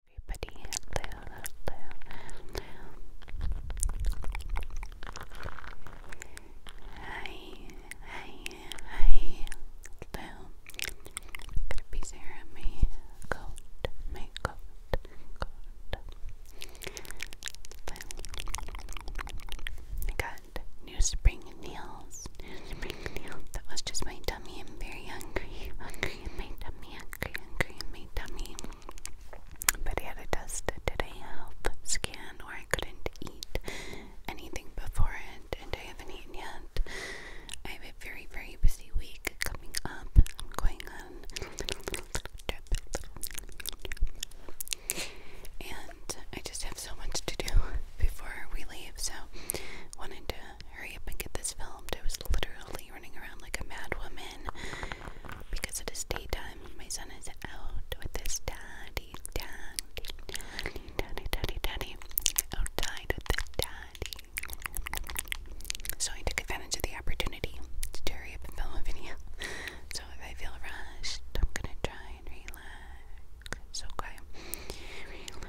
Everybody, hello, hello. I'm gonna be Sarah, my coat, my coat, coat. I got new spring nails, new That was just my tummy. I'm very hungry angry in my tummy, angry, But I had to test it. Did I have scan where I couldn't eat anything before it? And I haven't eaten yet. I have a very, very busy week coming up. I'm going on And I just have so much to do before we leave, so wanted to hurry up and get this filmed. I was literally running around like a mad woman because it is daytime. My son is out with his daddy, daddy, daddy, daddy, daddy, daddy. the daddy. So I took advantage of the opportunity to hurry up and film a video. So if I feel rushed, I'm gonna try and relax. It's okay. Relax.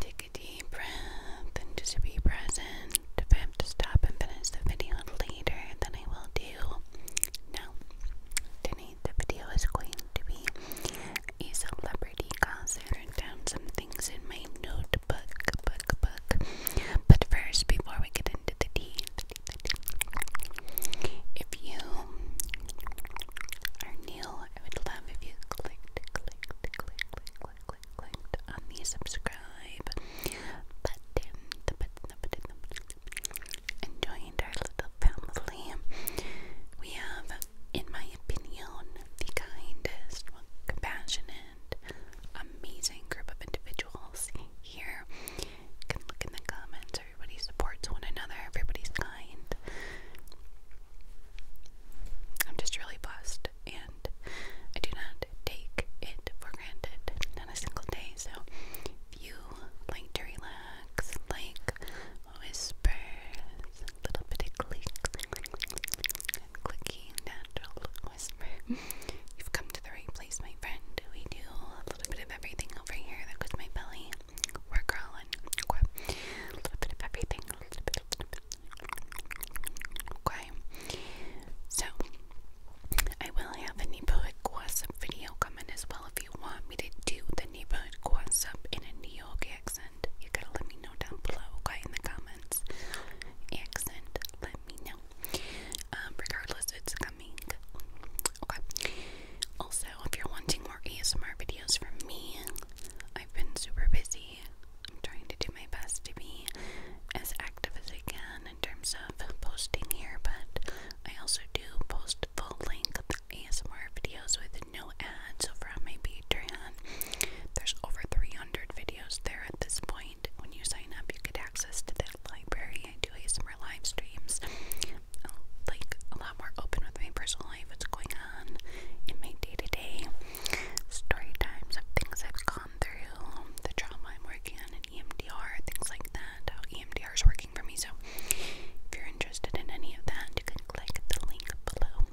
Take a deep deep breath and just be present. If I have to stop and finish the video later, then I will do. Now, tonight the video is going to be a celebrity gossip. I wrote down some things in my notebook, book, book. But first, before we get into the tea, if you are new, I would love if you clicked, clicked, clicked, clicked, clicked, click, clicked on the subscribe button, the button, our little family. We have, in my opinion, the kindest, compassionate, amazing group of individuals here. You can look in the comments, everybody supports one another, everybody's kind. I'm just really blessed and I do not take it for granted, not a single day. So, if you like to relax, like whispers, a little bit of click, click, natural whisper, you've come to the right place, my friend. We do a little bit of everything over here. That goes my belly. we crawling. A little bit of everything. Okay, so I will have a neighborhood gossip video coming as well. If you want me to do the neighborhood gossip in a New York accent, you gotta let me know down below, okay, in the comments. Accent, let me know. Um, regardless, it's coming. Okay. Also, if you're wanting more ASMR videos from me, I've been super busy I'm trying to do my best to be as active as I can in terms of posting here, but I also do post full length ASMR videos with no ads over on my Patreon. There's over 300 videos there at this point. When you sign up, you get access to that library. I do ASMR live streams. Like a lot more open with my personal life, what's going on in my day to day story times of things I've gone through, the trauma I'm working on, and EMDR, things like that, how EMDR is working for me. So, if you're interested in any of that, you can click the link below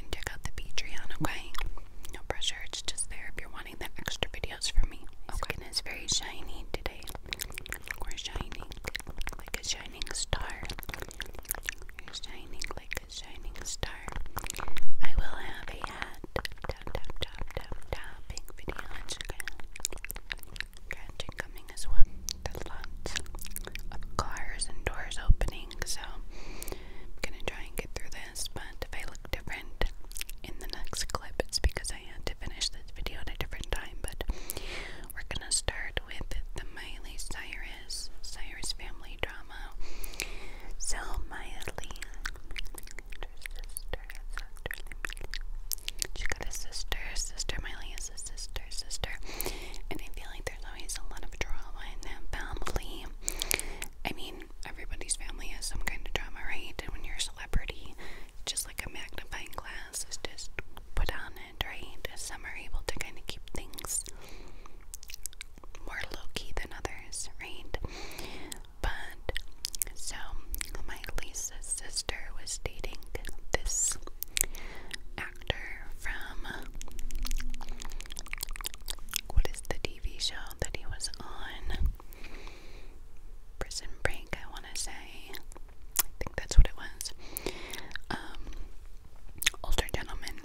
and check out the Patreon, okay? No pressure, it's just there if you're wanting the extra videos from me. My okay. very shiny today. We're shining like a shining star. You're shining like shining star. I will have a hat tapping video on Instagram. Gratitude coming as well. lots of cars and doors opening, so I'm gonna try and get through this. But if I look different in the next clip, it's because I had to finish this video at a different time. But we're gonna start with the Miley Cyrus. Cyrus, family drama. Selmaya Lee, her sister, got a sister, sister Miley a sister, sister. And I feel like there's always a lot of drama in that family. I mean, everybody's family has some kind of drama, right? And when you're a celebrity, just like a magnifying glass is just put on it, right? Some are able to kind of keep things more low key than others, right? But so my Lisa's sister was dating this actor from what is the TV show that he was on? Prison Break, I want to say. I think that's what it was. Um, older gentleman,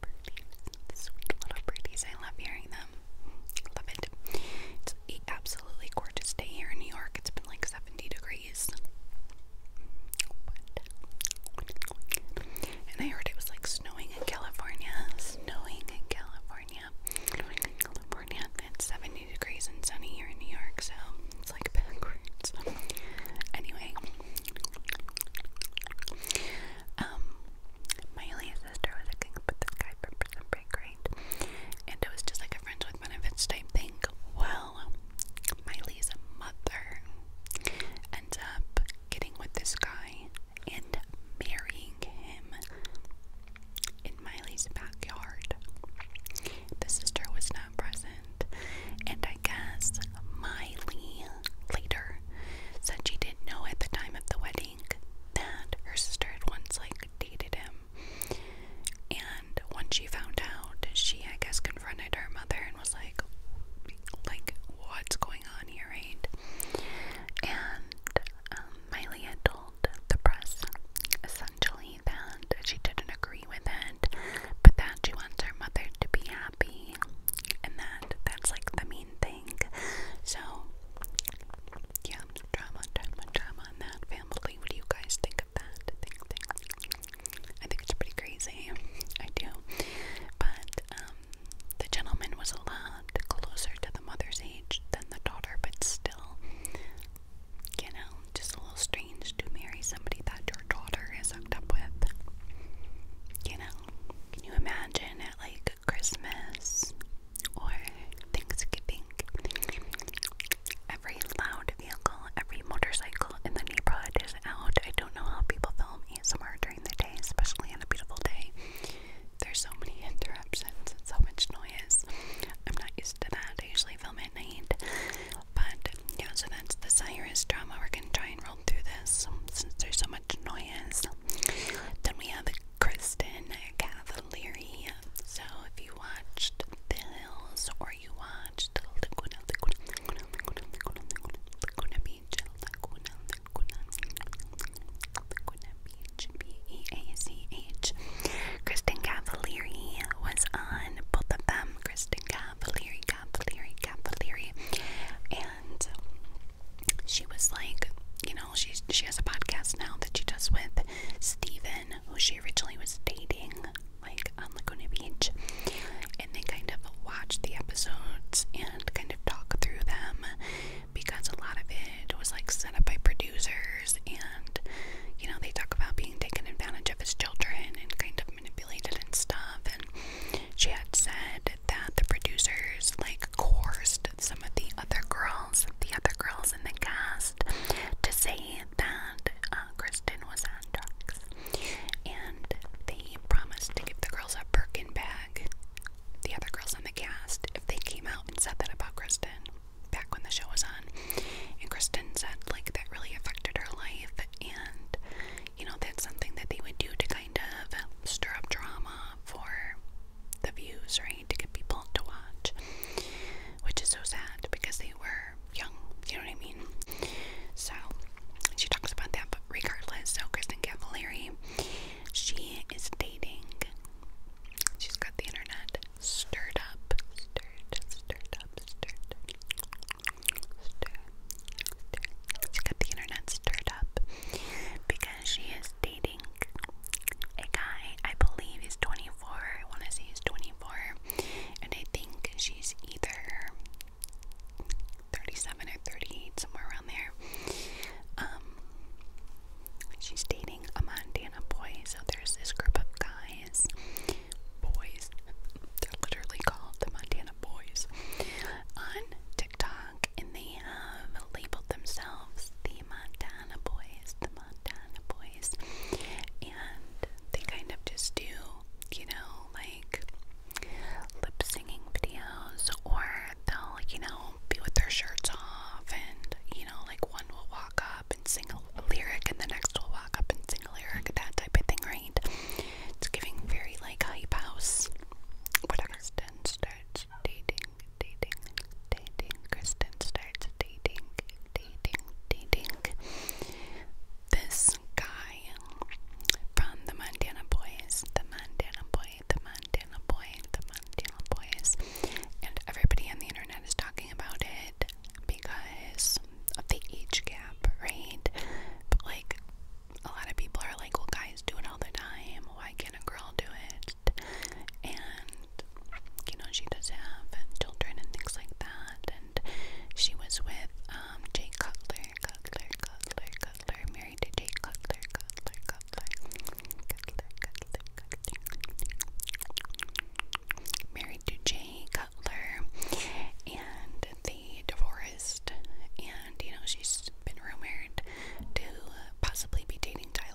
birdies, sweet little birdies. I love hearing them. Love it. It's absolutely gorgeous day here in New York. It's been like 70 degrees. and I heard it was like snowing in California. Snowing in California. Snowing in California. It's 70 degrees and sunny here in New York, so it's like backwards. Anyway. Um, my only sister was a king, this guy for something great, and it was just like a friends with benefits type thing. Well, Miley's mother ends up getting with this guy and marrying him in Miley's backyard. The sister was not present, and I guess Miley later said she didn't know at the time of the wedding think that her sister had once like dated him. And when she found out, she I guess confronted her mother and was like like what's going on here, right? And um, Miley had told the press essentially that she didn't agree with it, but that she wants her mother to be happy and that that's like the main thing. So, yeah, drama, drama, drama in that family. What do you guys think of that? I think it's pretty crazy. I do. But, um, the gentleman was a lot closer to the mother's age than the daughter, but still, you know, just a little strange to marry somebody that your daughter is hooked up with. You know, can you imagine it, like Christmas or Thanksgiving. Every loud vehicle, every motorcycle in the neighborhood is out. I don't know how people film ASMR during the day, especially on a beautiful day. There's so many interruptions and so much noise. I'm not used to that. I usually film at night. But yeah, so that's the Cyrus drama. We're gonna try and roll through this since there's so much noise. Then we have Kristen Cavalieri. So if you watched The Hills or you watched Laguna, Laguna, Laguna, Beach, Laguna, Beach, B-E-A-C-H. Kristen Cavalieri was on both of them. Kristen Cavalieri, Cavalieri, Cavalieri. And she was like, you know, she she has a podcast now that she does with Steven, who she originally was dating, like on Laguna Beach. And they kind of watch the episodes and kind of talk through them because a lot of it was like set up by producers and you know, they talk about being taken advantage of as children and kind of manipulated and stuff and she had said that the producers like coerced some of the other girls, the other girls in the cast, to say that uh, Kristen was on drugs, and they promised to give the girls a Birkin bag. The other girls on the cast, if they came out and said that about Kristen back when the show was on, and Kristen said like that really affected her life, and you know that's something that they would do to kind of stir up drama for the views, right? to get people to watch, which is so sad because they were young, you know what I mean? So she talks about that, but regardless, so Kristen Cavallari, she is dating. She's got the internet stirred up, stirred, stirred up, stirred, stirred, stirred. She got the internet stirred up because she is dating a guy, I believe he's 24, I want to say he's 24, and I think she's either 37 or 38, somewhere around there. Um, she's dating a Montana boy, so there's this group of guys, boys, they're literally called the Montana boys, on TikTok, and they have labeled themselves the the Montana Boys, the Montana Boys, and they kind of just do, you know, like lip singing videos, or they'll, like, you know, be with their shirts off, and you know, like one will walk up and sing a lyric, and the next will walk up and sing a lyric, that type of thing, right? It's giving very like hype house, whatever. Stand, start, dating, dating, dating. Kristen starts dating, dating, dating. This guy from the Montana Boys, the Montana Boy, the Montana Boy, the Montana Boys. And everybody on the internet is talking about it because of the age gap, right? like, a lot of people are like, well, guys do it all the time. Why can't and a girl do it, and you know she does have children and things like that. And she was with um, Jay Cutler, Cutler, Cutler, Cutler, married to Jay Cutler, Cutler, Cutler, Cutler, Cutler, Cutler, married to Jay Cutler, and they divorced. And you know she's been rumored to possibly be dating Tyler.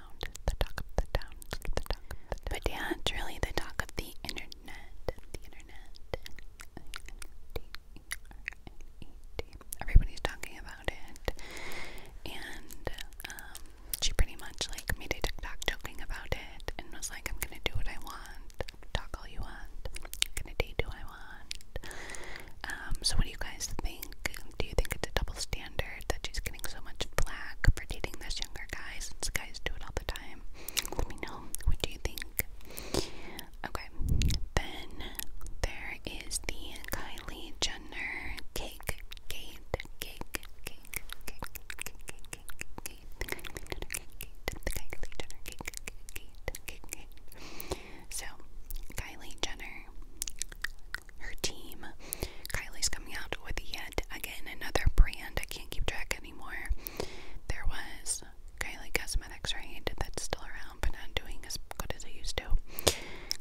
sound. The talk of the town. The talk of the town. But yeah, it's really the talk of the internet. The internet. Everybody's talking about it. And um, she pretty much like made a TikTok joking about it and was like, I'm gonna do what I want, talk all you want, I'm gonna date who I want. Um, so what do you guys think? Do you think it's a double standard that she's getting so much flack for dating this guys, guys do it all the time. Let me know what do you think. Okay, then there is the Kylie Jenner cake, cake, So Kylie Jenner, her team Kylie's coming out with yet again another brand. I can't keep track anymore. There was Kylie Cosmetics, right? That's still around, but not doing as good as I used to.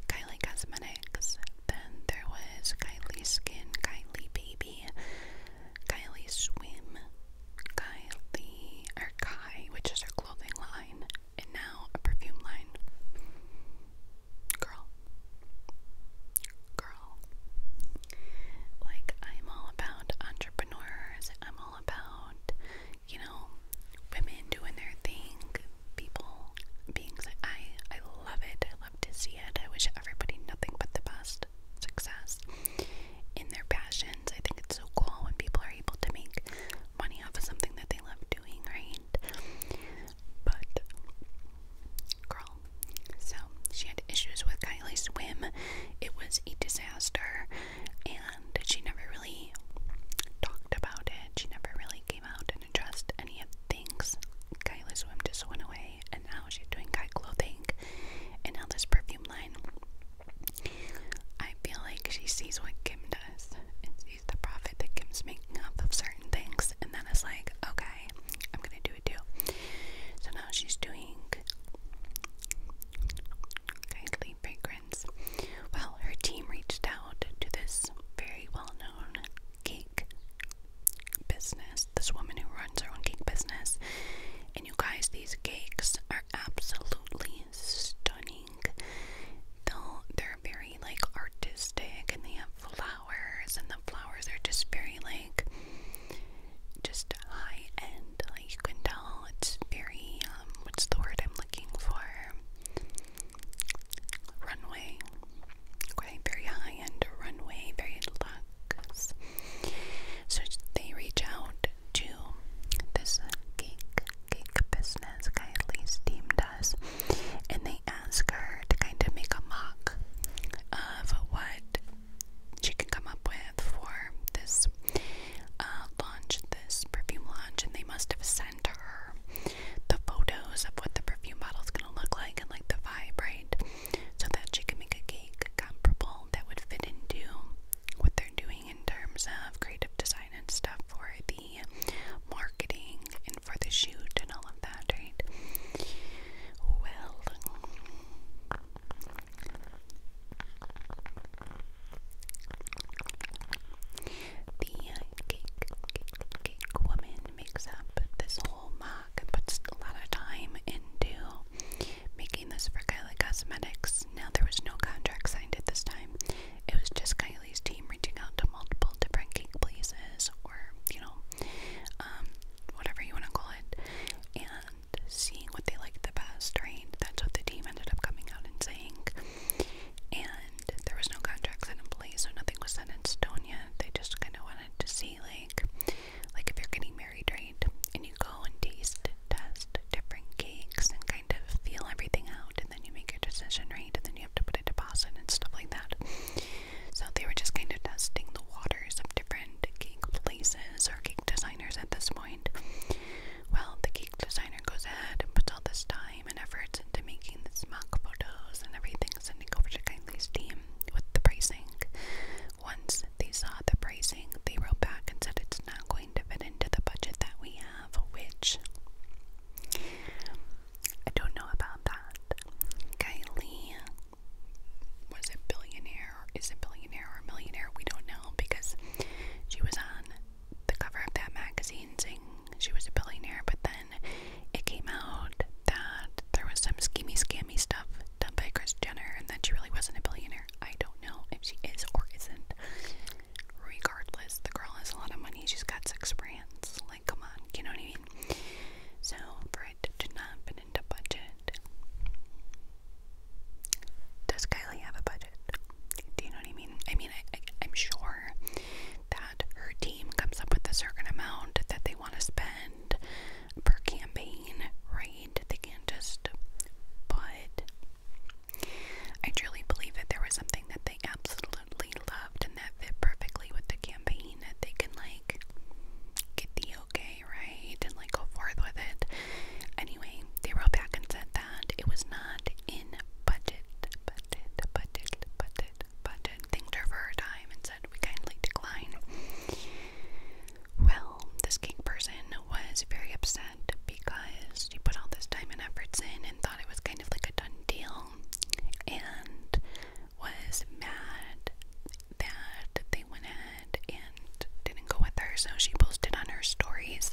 Kylie Cosmetics. Then there was Kylie Skin, Kylie Baby, Kylie Swim, Kylie or Kai, which is her clothing line, and now a perfume line. Girl, girl. Like, I'm all about entrepreneurs, I'm all about, you know, women doing their thing, people being I I love it. I love to see it. I wish everybody nothing but the best success in their passions. I think it's so cool when people are able to make money off of something that they love doing, right? But girl, so she had issues with Kylie's swim. It was a disaster, and she never really talked about it. She never really came out and addressed any of things. Kylie's swim just went away, and now she's doing guy clothing, and now this perfume line. I feel like she sees what Kim does and sees the profit that Kim's making off of certain things, and then is like, okay, I'm gonna do so now she's doing kindly fragrance. Well, her team reached out to this very well known cake business, this woman who runs her own cake business. And you guys, these cakes are absolutely stunning. they are very like artistic and they have flowers flowers, and the flowers are just very like just high end. Like you can tell, it's very um, what's the word I'm looking for? Runway. Okay, very high end runway, very luxe. So they reach out to this cake cake business. Kylie Steam does, and they ask her to kind of make a mock of what she can come up with for this uh, launch, this perfume launch, and they must have sent her the photos of what the perfume bottle is going to look like and like the vibe, right? So that she can make a cake comparable that would fit into what they're doing in terms of creative design and stuff for the marketing and for the shoot and all of like Well, the uh, cake, woman makes up this whole mock puts a lot of time into making this for Kylie Cosmetics. Now, there was no contract signed at this time, it was just Kylie's team reaching out to multiple different cake places or, you know, um, whatever you want to call it, and seeing what they liked the best, right? That's what the team ended up coming out and saying. And there was no contract set in place, so nothing was set in stone yet. They just kind of wanted to see, like, like if you're getting married, right? And you go and taste, test different cakes and kind of feel everything out, and then you make your decision, right? And then you have to put a deposit and stuff like that. So they were just kind of testing the waters of different cake places or cake designers at this point. Well, the cake designer goes ahead and puts all this time and effort into making these mock photos and everything, sending over to Kylie's team with the pricing. Once they saw the pricing, they wrote back and said it's not going to fit into the budget that we have, which I don't know about that. Kylie was a billionaire or is a billionaire or a millionaire, we don't know because she was on the cover of that magazine saying she was a billionaire, but then it came out that there was some schemy scammy stuff done by Kris Jenner and that she really wasn't a billionaire. I don't know if she is or isn't. Regardless, the girl has a lot of money. She's got six brands. Like, come on, you know what I mean? So, for it to not does Kylie have a budget? Do you know what I mean? I mean, I'm sure that her team comes up with a certain amount that they want to spend per campaign, right? They can't just. But I truly believe that there was something that they absolutely loved and that fit perfectly with the campaign that they can, like, get the okay, right? And like go forth with it. Anyway, they wrote back and said that it was not in budget, budget, budget, budget, budget. Thanked her for her time and said we kindly decline. Well, this cake person was very upset because she put all this time and efforts in and thought it was kind of like a done deal. And was mad that they went and didn't go with her, so she posted on her stories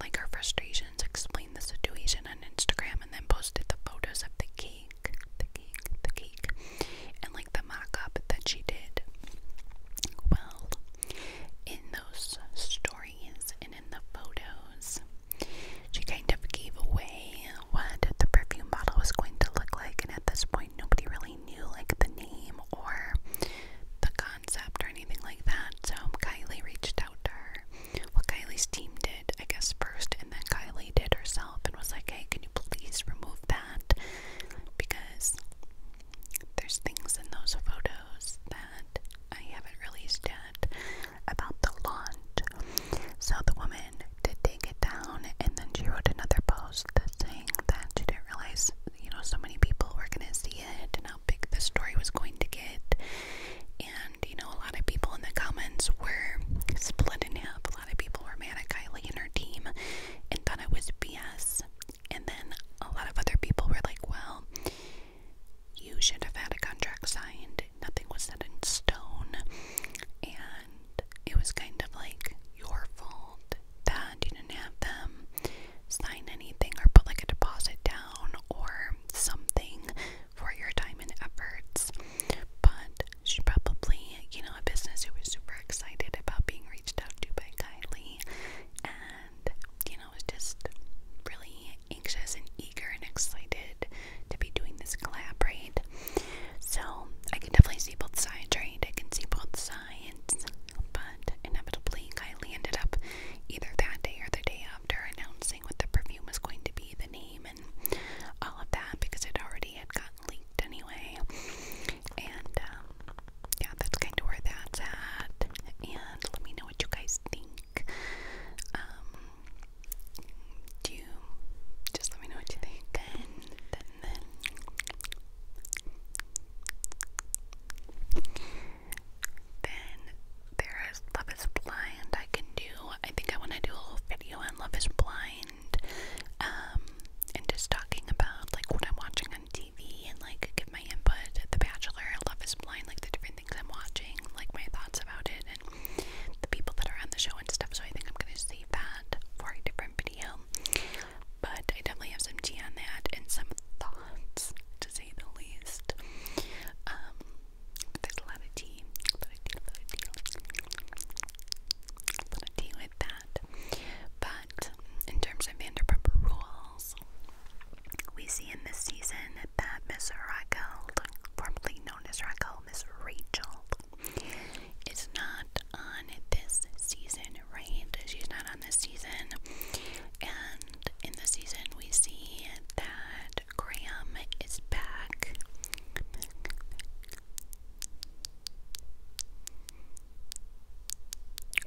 like her frustrations, explained the situation on Instagram, and then posted the photos of the cake, the cake, the cake, and like the mock up that she did. Well, in those stories and in the photos, she kind of gave away what the perfume bottle was going to look like, and at this point, nobody really knew like the name or the concept or anything like that. So Kylie reached out to her. What Kylie's team did, I guess, first, and then Kylie did herself and was like, hey, can you please remove that? Because there's things in those photos that I haven't released yet about the launch. So the woman to take it down, and then she wrote another post saying that she didn't realize, you know, so many people were gonna see it and how big the story was going to get. And you know, a lot of people in the comments were split in half. A lot of people were mad at Kylie and her team and thought it was BS. And then a lot of other people were like, well, you should have had a contract signed. Nothing was set in stone. And it was kind of like your fault that you didn't have them sign anything or put like a deposit down or something for your time and efforts. But she probably, you know, a business who was super excited about being reached out to by Kylie and, you know, was just really anxious and eager and excited to be doing this collaborate so I can definitely see both sides, right? I can see both sides, but inevitably Kylie ended up either that day or the day after announcing what the perfume was going to be, the name, and all of that because it already had gotten leaked anyway. And um, yeah, that's kind of where that's at. And let me know what you guys think. Um, do you just let me know what you think? then, then, then there is Love is Blind I can do. I think I want to do a whole video on Love is Blind um, and just talking about like what I'm watching on TV and like give my input. The Bachelor, Love is Blind, like the different things I'm watching, like my thoughts about it and the people that are on the show and stuff. So I think I'm going to save that for a different video video. But I definitely have some tea on that and some thoughts, to say the least. Um, there's a lot of tea, a lot of with that. But in terms of Vanderpump Rules, we see in this season that Miss Raquel, formerly known as Raquel, Miss Rachel, is not on this season, right? She's not on this season. And in the season, we see that Graham is back.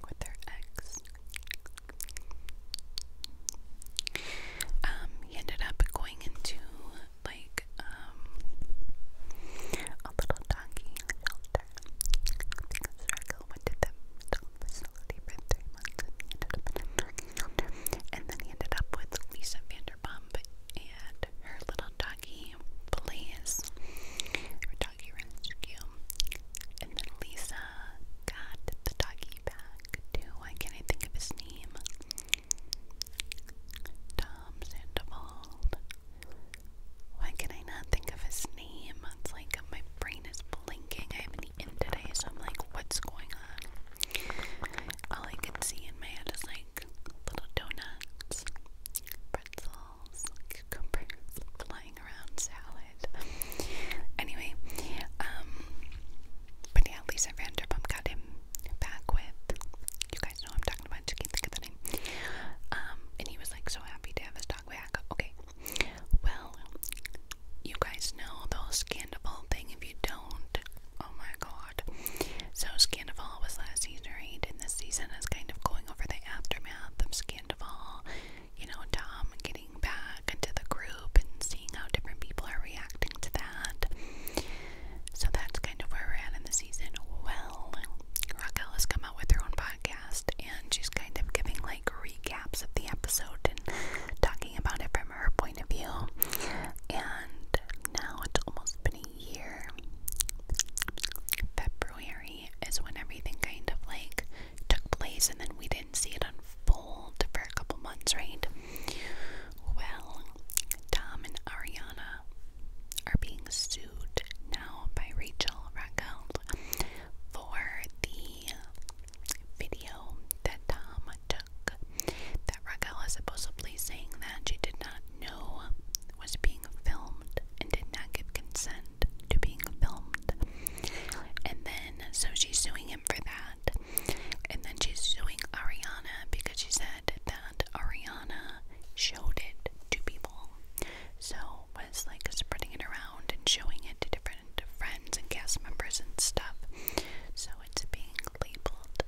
With their ex. Um, he ended up going into like um a little doggy shelter. Because Draco went to the mental facility in a doggy shelter. And then he ended up with Lisa Vanderpump and her little doggy Blaze. Her doggy rescue. And then Lisa got the doggy back too. can I think of his name? Tom Sandoval. Why can I not think of his name? It's like my brain is blinking. I haven't eaten today, so I'm like, what's going on? All I can see in my head is like little donuts, pretzels, cucumbers flying around, salad. anyway, um, but yeah, Lisa Vanderpump got him back with you guys know I'm talking about. Just can't think of the name. Um, and he was like so happy to have his dog back. Okay. Well, you guys know the whole thing. If you don't, oh my god. So Scandival was last season, right? And this season is kind of going over the aftermath of Scandival. You know, Tom getting back into the group and seeing how different people are reacting to that. So that's kind of where we're at in the season. Well. Raquel. has come out with her own podcast and she's kind of giving like recaps of the episode and talking about it from her point of view. And now it's almost been a year. February is when everything kind of like took place and then we didn't see it unfold for a couple months, right? Well, Tom and Ariana are being sued now by Rachel Raquel for the video that Tom took that Raquel is supposedly saying that she did not know was being filmed and did not give consent to being filmed. And then so she's suing him for that. And then she's suing Ariana because she said that Ariana showed it to people. So was like spreading it around and showing it to different friends and cast members and stuff. So it's being labeled,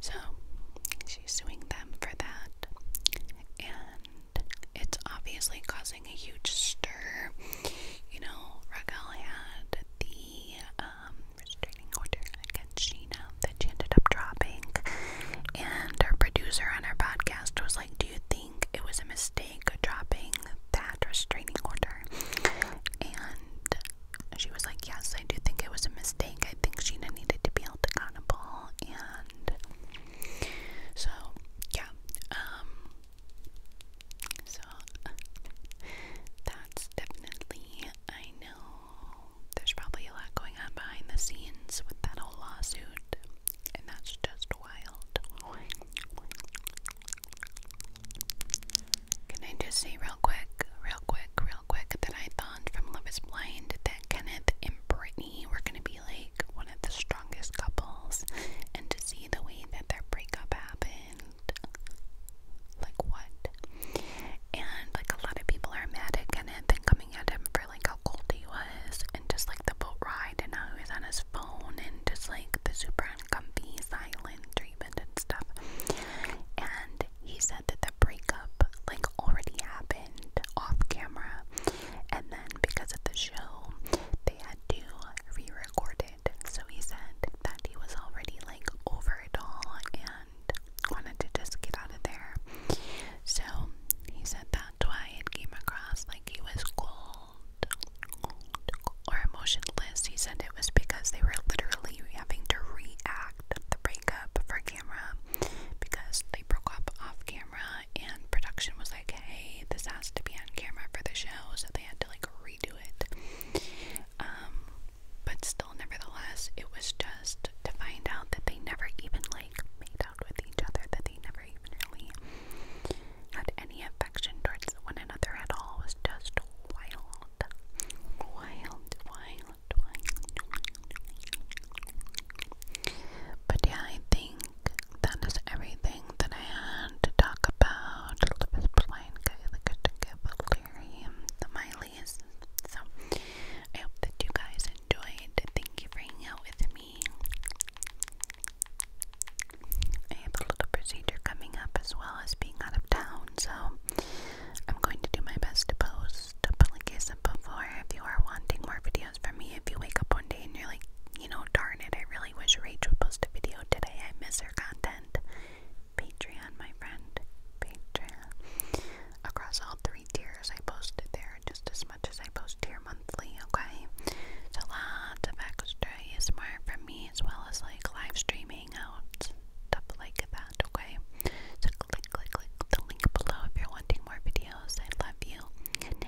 So she's suing them for that, and it's obviously causing a huge stir. You know, Raquel had the um, restraining order against Sheena that she ended up dropping, and our producer on our podcast was like, "Do you think it was a mistake dropping that restraining order?" And she was like, "Yes, I do think it was a mistake. I think Sheena needed to be held accountable." And so yeah, um, so that's definitely. I know there's probably a lot going on behind the scenes with that whole lawsuit, and that's just wild. Can I just say real quick, real quick, real quick that I thought from Love Is Blind that Kenneth and Brit we're going to be like one of the strongest couples, and to see the way that their breakup happened, like what? And like a lot of people are mad at him and coming at him for like how cold he was, and just like the boat ride, and how he was on his phone, and just like the super uncomfy silent treatment and stuff. And he said that the breakup like already happened off camera, and then because of the show, they had to re-record it. So he said that he was already like over it all and wanted to just get out of there. So he said that's why it came across like he was cold, cold or emotionless. He said it was because they were literally having to react the breakup for camera because they broke up off camera and production was like, hey, this has to be on camera for the show, so they had to like redo it. Um, but still, nevertheless, it was just to find out that they never even like made out with each other, that they never even really had any affection towards one another at all. was just wild. Wild, wild, wild. But yeah, I think that is everything that I had to talk about. Elizabeth Blanca, the Katinka Valerium, the Miley's. So, I hope that you guys enjoyed. Thank you for hanging out with me. I have a little procedure coming up as well as being out of town, so I'm going to do my best to post. But like I said before, if you are wanting more videos from me, if you wake up one day and you're like, you know Oh, darn it, I really wish Rachel would post a video today. I miss her content. Patreon, my friend. Patreon. Across all three tiers, I post it there just as much as I post here monthly, okay? So lots of extra ASMR for me as well as like live streaming out, stuff like that, okay? So click, click, click the link below if you're wanting more videos. I love you. Good